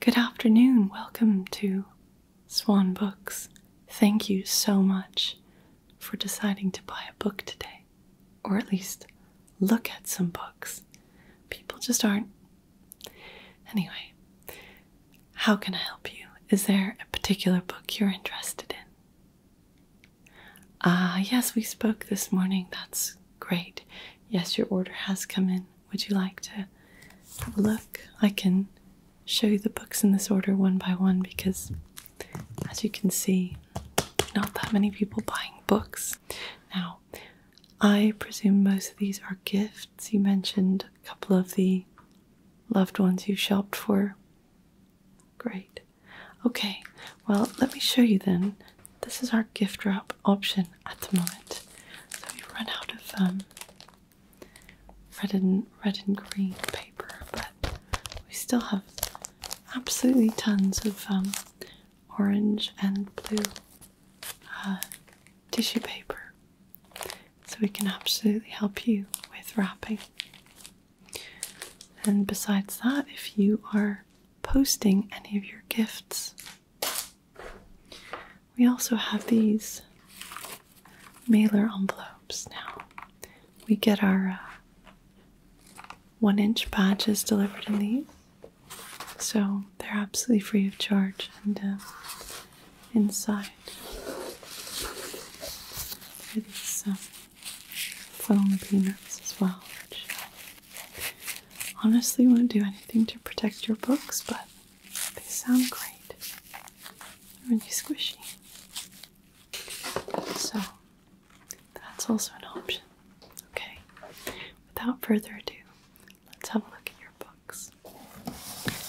Good afternoon, welcome to Swan Books, thank you so much for deciding to buy a book today, or at least look at some books. People just aren't. Anyway, how can I help you? Is there a particular book you're interested in? Ah, yes, we spoke this morning. That's great. Yes, your order has come in. Would you like to have a look? I can show you the books in this order one by one because, as you can see, not that many people buying books. Now, I presume most of these are gifts. You mentioned a couple of the loved ones you shopped for. Great. Okay, well, let me show you then. This is our gift wrap option at the moment. So we run out of um, red and red and green paper, but we still have absolutely tons of um, orange and blue uh, tissue paper, so we can absolutely help you with wrapping. And besides that, if you are posting any of your gifts, we also have these mailer envelopes now. We get our uh, one inch badges delivered in these, so they're absolutely free of charge. And uh, inside are some um, peanuts as well, which honestly won't do anything to protect your books, but they sound great, They're really squishy. So that's also an option. Okay, without further ado, let's have a look at your books.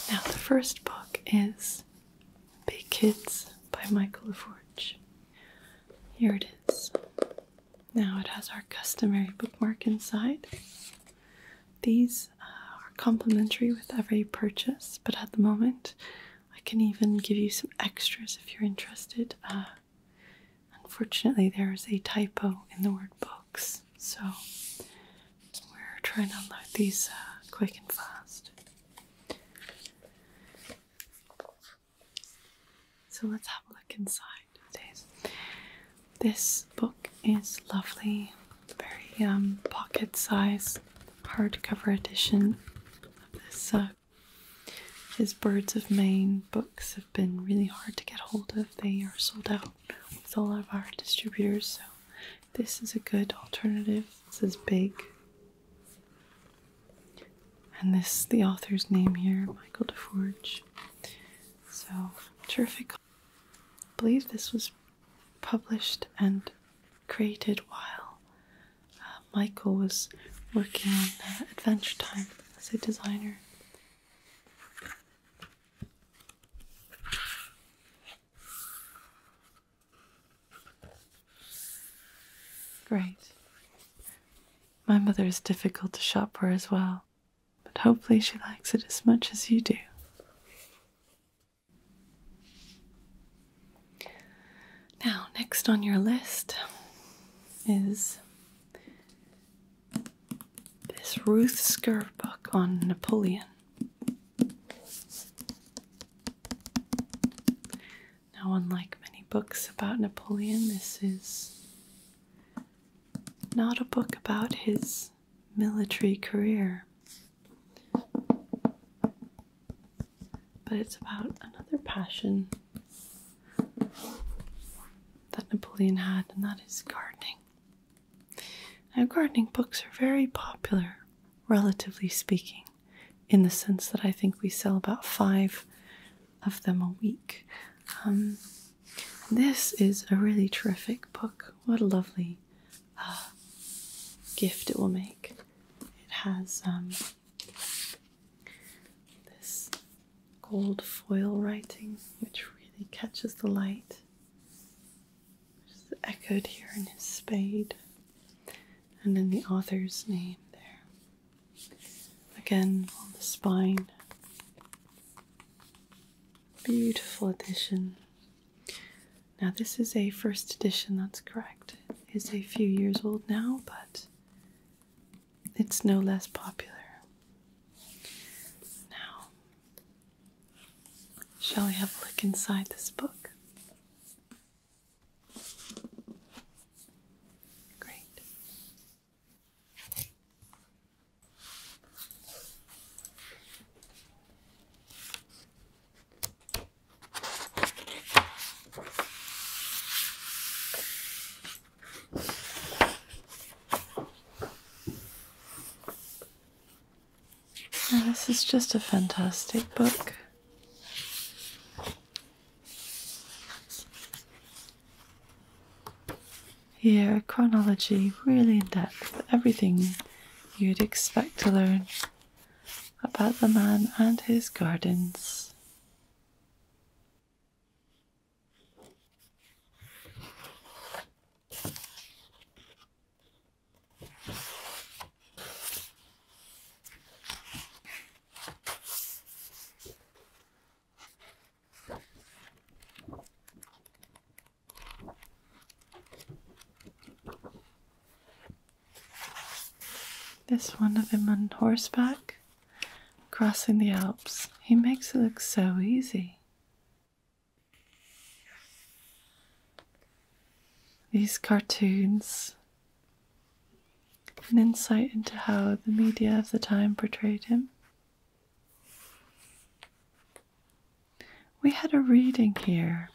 Now, the first book is Big Kids by Michael LaForge. Here it is. Now, it has our customary bookmark inside. These uh, are complimentary with every purchase, but at the moment, I can even give you some extras if you're interested. Uh, unfortunately, there is a typo in the word books, so we're trying to unload these uh, quick and fast. So let's have a look inside. This book is lovely, very um, pocket size hardcover edition of this. Uh, his Birds of Maine books have been really hard to get hold of. They are sold out with all of our distributors, so this is a good alternative. This is big. And this the author's name here, Michael DeForge. So terrific. I believe this was published and created while uh, Michael was working on Adventure Time as a designer. Great. My mother is difficult to shop for as well, but hopefully she likes it as much as you do. Now, next on your list is this Ruth Skerr book on Napoleon. Now, unlike many books about Napoleon, this is not a book about his military career. But it's about another passion that Napoleon had, and that is gardening. Now, gardening books are very popular, relatively speaking, in the sense that I think we sell about five of them a week. Um, this is a really terrific book. What a lovely uh, gift it will make. It has um, this gold foil writing which really catches the light, which is echoed here in his spade, and then the author's name there. Again on the spine. Beautiful addition now, this is a first edition, that's correct. is a few years old now, but it's no less popular. Now, shall we have a look inside this book? Great this is just a fantastic book. Here, chronology really in depth, everything you'd expect to learn about the man and his gardens. This one of him on horseback crossing the Alps. He makes it look so easy. These cartoons, an insight into how the media of the time portrayed him. We had a reading here.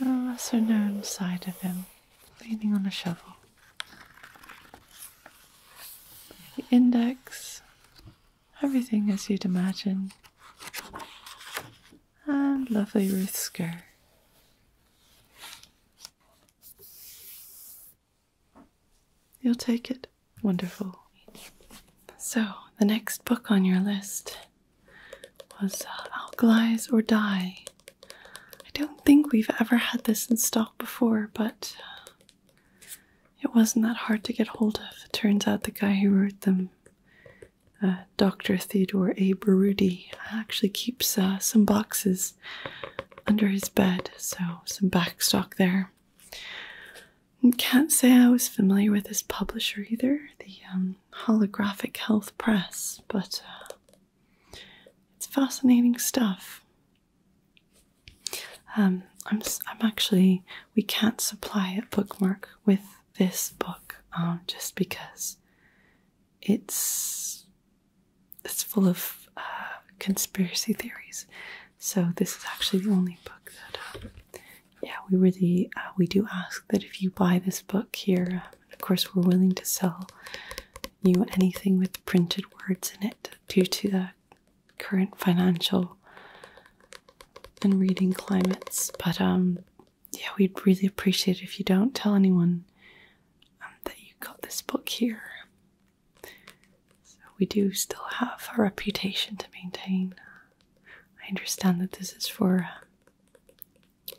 A lesser known side of him, leaning on a shovel the index, everything as you'd imagine, and lovely Ruth's skirt. You'll take it. Wonderful. So, the next book on your list was uh, or Die. I don't think we've ever had this in stock before, but uh, it wasn't that hard to get hold of. It turns out the guy who wrote them, uh, Dr. Theodore A. Barudi, actually keeps uh, some boxes under his bed, so some backstock there. can't say I was familiar with his publisher either, the um, Holographic Health Press, but uh, it's fascinating stuff. Um, I'm I'm actually we can't supply a bookmark with this book um, just because it's it's full of uh, conspiracy theories. So this is actually the only book that um, yeah we really uh, we do ask that if you buy this book here, of course we're willing to sell you anything with printed words in it due to the current financial and reading climates. But um, yeah, we'd really appreciate it if you don't tell anyone um, that you got this book here. So we do still have a reputation to maintain. I understand that this is for uh,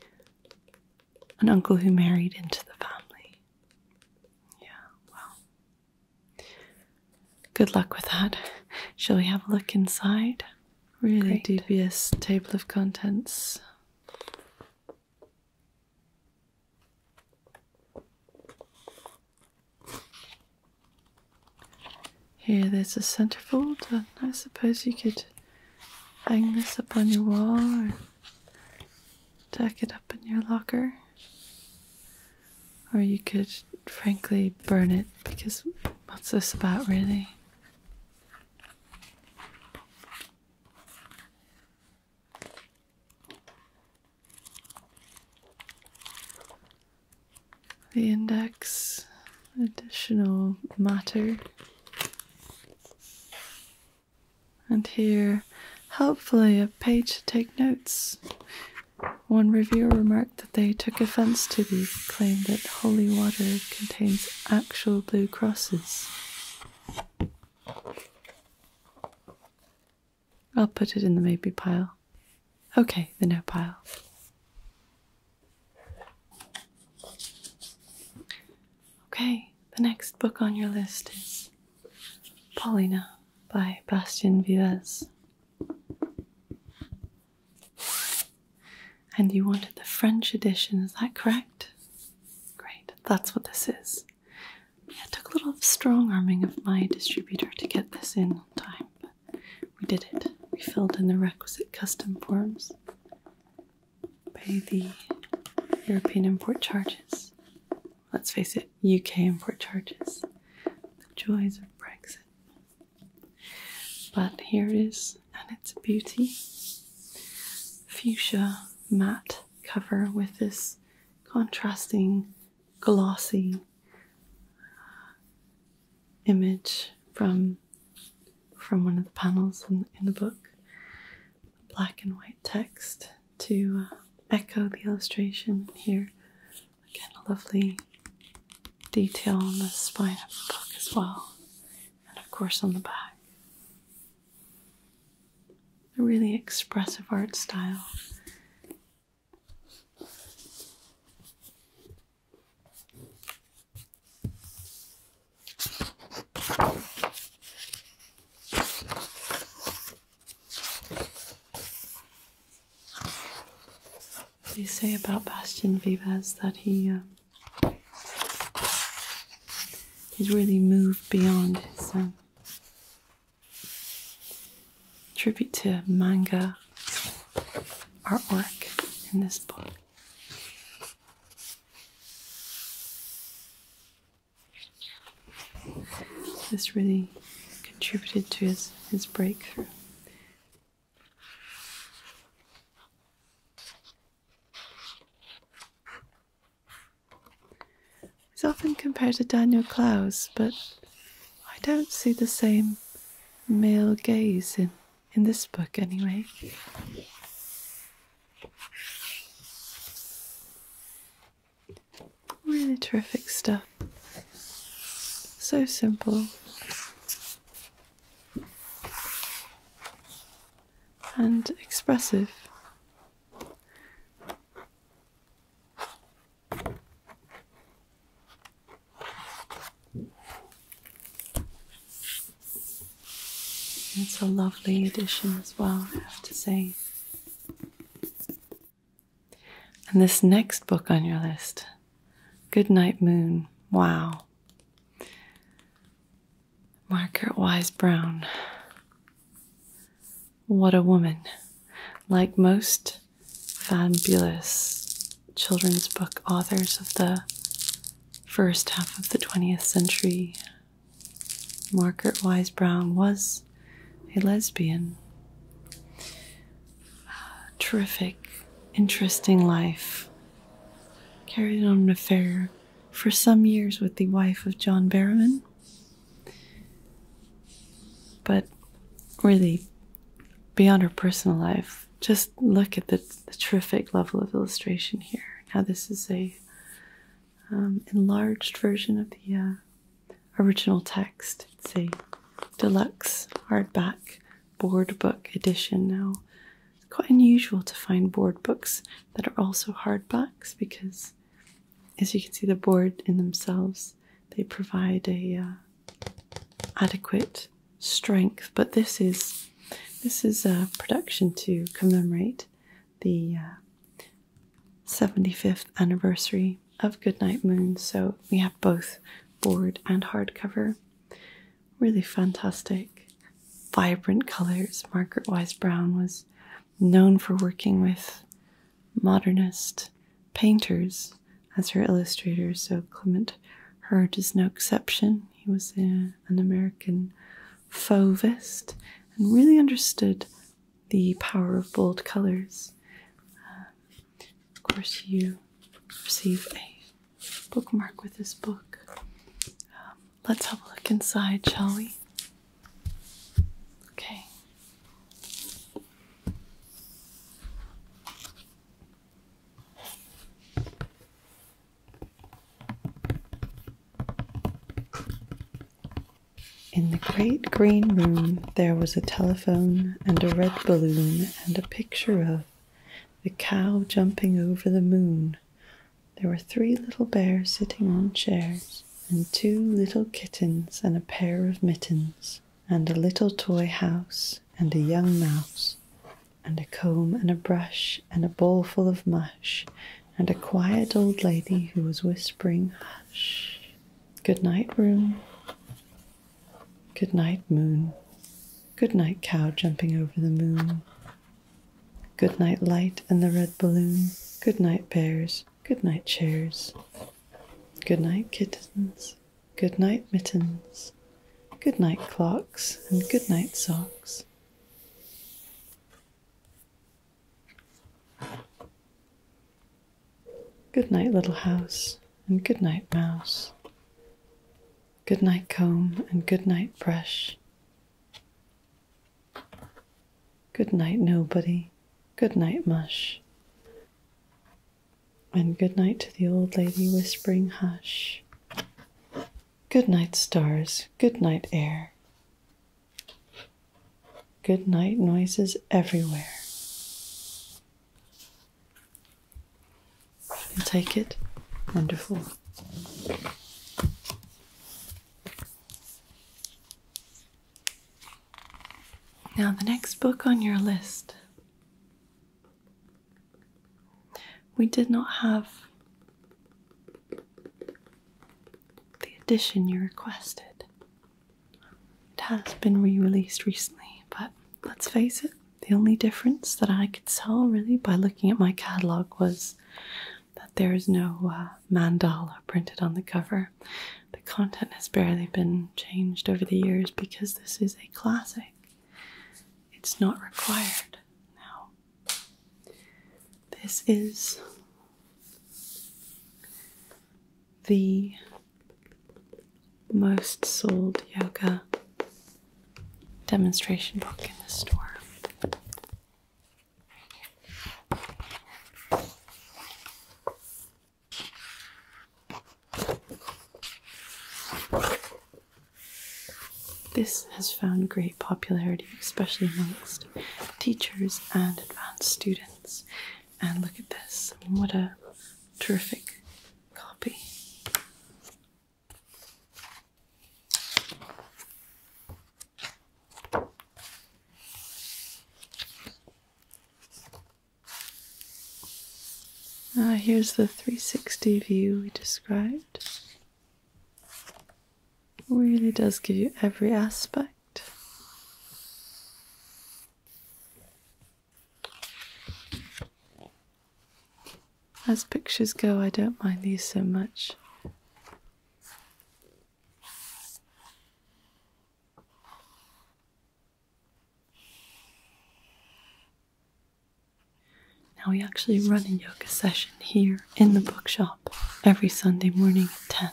an uncle who married into the family. Yeah, well, Good luck with that. Shall we have a look inside? Really dubious table of contents. Here, there's a centerfold, and I suppose you could hang this up on your wall or tack it up in your locker. Or you could frankly burn it because what's this about, really? The index, additional matter. And here, hopefully, a page to take notes. One reviewer remarked that they took offense to the claim that holy water contains actual blue crosses. I'll put it in the maybe pile. Okay, the no pile. Okay, the next book on your list is Paulina by Bastien Vives. And you wanted the French edition, is that correct? Great, that's what this is. Yeah, it took a little strong arming of my distributor to get this in on time, we did it. We filled in the requisite custom forms, pay the European import charges, let's face it, UK import charges, the joys of Brexit. But here it is, and it's a beauty, fuchsia matte cover with this contrasting glossy uh, image from from one of the panels in the book. Black and white text to uh, echo the illustration here. Again, a lovely detail on the spine of the book as well, and of course on the back. A really expressive art style. They say about Bastian Vives that he um, he's really moved beyond his um, tribute to manga artwork in this book. This really contributed to his, his breakthrough. He's often compared to Daniel Clowes, but I don't see the same male gaze in, in this book, anyway. Really terrific stuff. So simple. And expressive. It's a lovely addition as well, I have to say. And this next book on your list, "Goodnight Moon. Wow. Margaret Wise Brown. What a woman. Like most fabulous children's book authors of the first half of the 20th century, Margaret Wise Brown was a lesbian. terrific, interesting life. Carried on an affair for some years with the wife of John Barrowman, but really beyond her personal life. Just look at the, terrific level of illustration here. Now this is a um, enlarged version of the uh, original text. It's a deluxe hardback board book edition now. It's quite unusual to find board books that are also hardbacks because, as you can see, the board in themselves they provide a uh, adequate strength. But this is this is a production to commemorate the uh, 75th anniversary of Goodnight Moon, so we have both board and hardcover. Really fantastic, vibrant colours. Margaret Wise Brown was known for working with modernist painters as her illustrators, so Clement Hurd is no exception. He was uh, an American fauvist and really understood the power of bold colors. of course, you receive a bookmark with this book. Um, let's have a look inside, shall we? Okay. In the great green room there was a telephone and a red balloon and a picture of the cow jumping over the moon. There were three little bears sitting on chairs, and two little kittens, and a pair of mittens, and a little toy house, and a young mouse, and a comb, and a brush, and a bowl full of mush, and a quiet old lady who was whispering, Hush! Good night, room. Good night, moon. Good night, cow jumping over the moon. Good night, light and the red balloon. Good night, bears. Good night, chairs. Good night, kittens. Good night, mittens. Good night, clocks. And good night, socks. Good night, little house, and good night, mouse. Good night, comb, and good night, brush. Good night, nobody. Good night, mush. And good night to the old lady whispering hush. Good night, stars. Good night, air. Good night noises everywhere. take it? Wonderful. Now, the next book on your list. We did not have the edition you requested. It has been re released recently, but let's face it, the only difference that I could tell really by looking at my catalogue was that there is no uh, mandala printed on the cover. The content has barely been changed over the years because this is a classic. It's not required now. This is the most sold yoga demonstration book in the store. This has found great popularity, especially amongst teachers and advanced students. And look at this. what a terrific copy. Uh, here's the 360 view we described. Really does give you every aspect as pictures go, I don't mind these so much. Now, we actually run a yoga session here in the bookshop every Sunday morning at 10.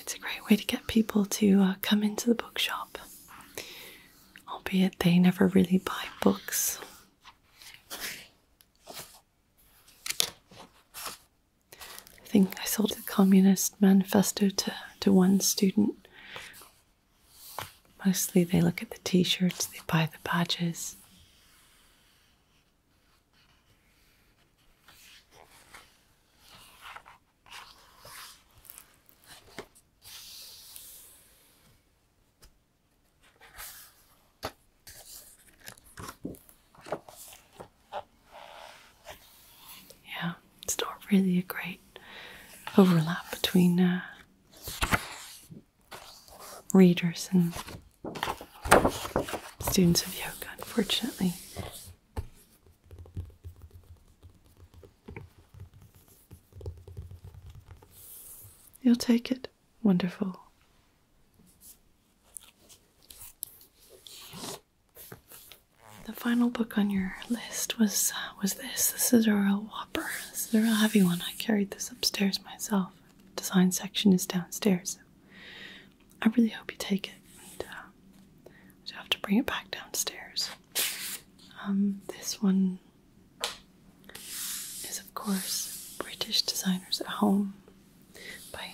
It's a great way to get people to uh, come into the bookshop, albeit they never really buy books. I think I sold a Communist Manifesto to, to one student. Mostly they look at the t shirts, they buy the badges. Yeah, it's not really a great overlap between uh, readers and students of yoga, unfortunately. You'll take it. Wonderful. The final book on your list was uh, was this. This is a real whopper. This is a real heavy one. I carried this upstairs myself. Design section is downstairs. I really hope you take it. And, I'll uh, have to bring it back downstairs. Um, this one is, of course, British Designers at Home by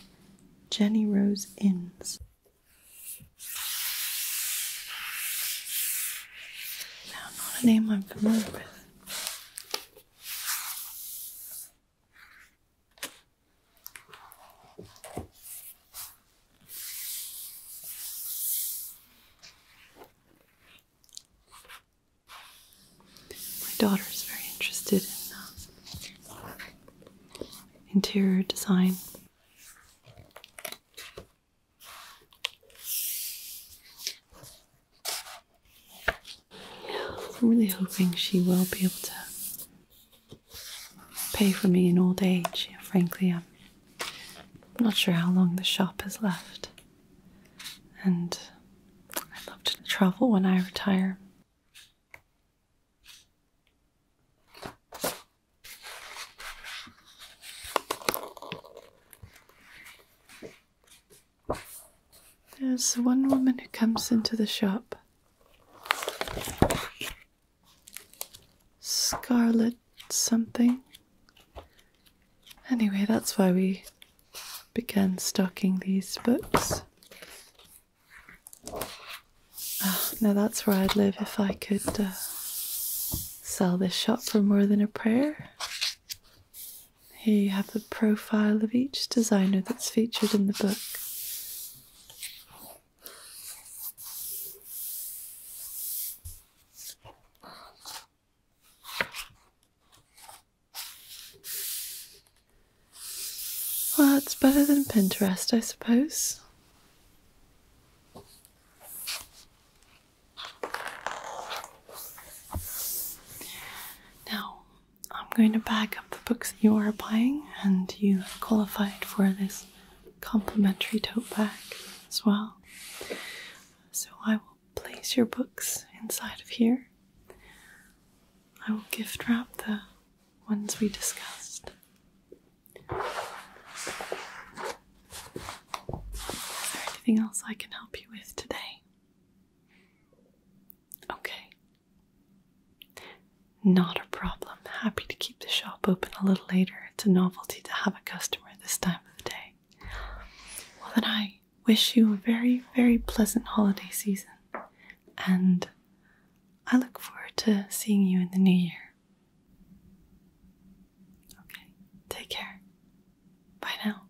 Jenny Rose Innes. Now, not a name I'm familiar with. My daughter is very interested in um, interior design. I'm really hoping she will be able to pay for me in old age. frankly, I'm not sure how long the shop has left. And I'd love to travel when I retire. There's one woman who comes into the shop. Scarlet something. Anyway, that's why we began stocking these books. Oh, now that's where I'd live if I could uh, sell this shop for more than a prayer. Here you have the profile of each designer that's featured in the book. Well, it's better than Pinterest, I suppose. Now, I'm going to bag up the books you are buying, and you have qualified for this complimentary tote bag as well. So I will place your books inside of here. I will gift wrap the ones we discussed. Is there anything else I can help you with today? Okay, not a problem. Happy to keep the shop open a little later. It's a novelty to have a customer this time of the day. Well, then I wish you a very, very pleasant holiday season, and I look forward to seeing you in the new year. Okay, take care. Bye now.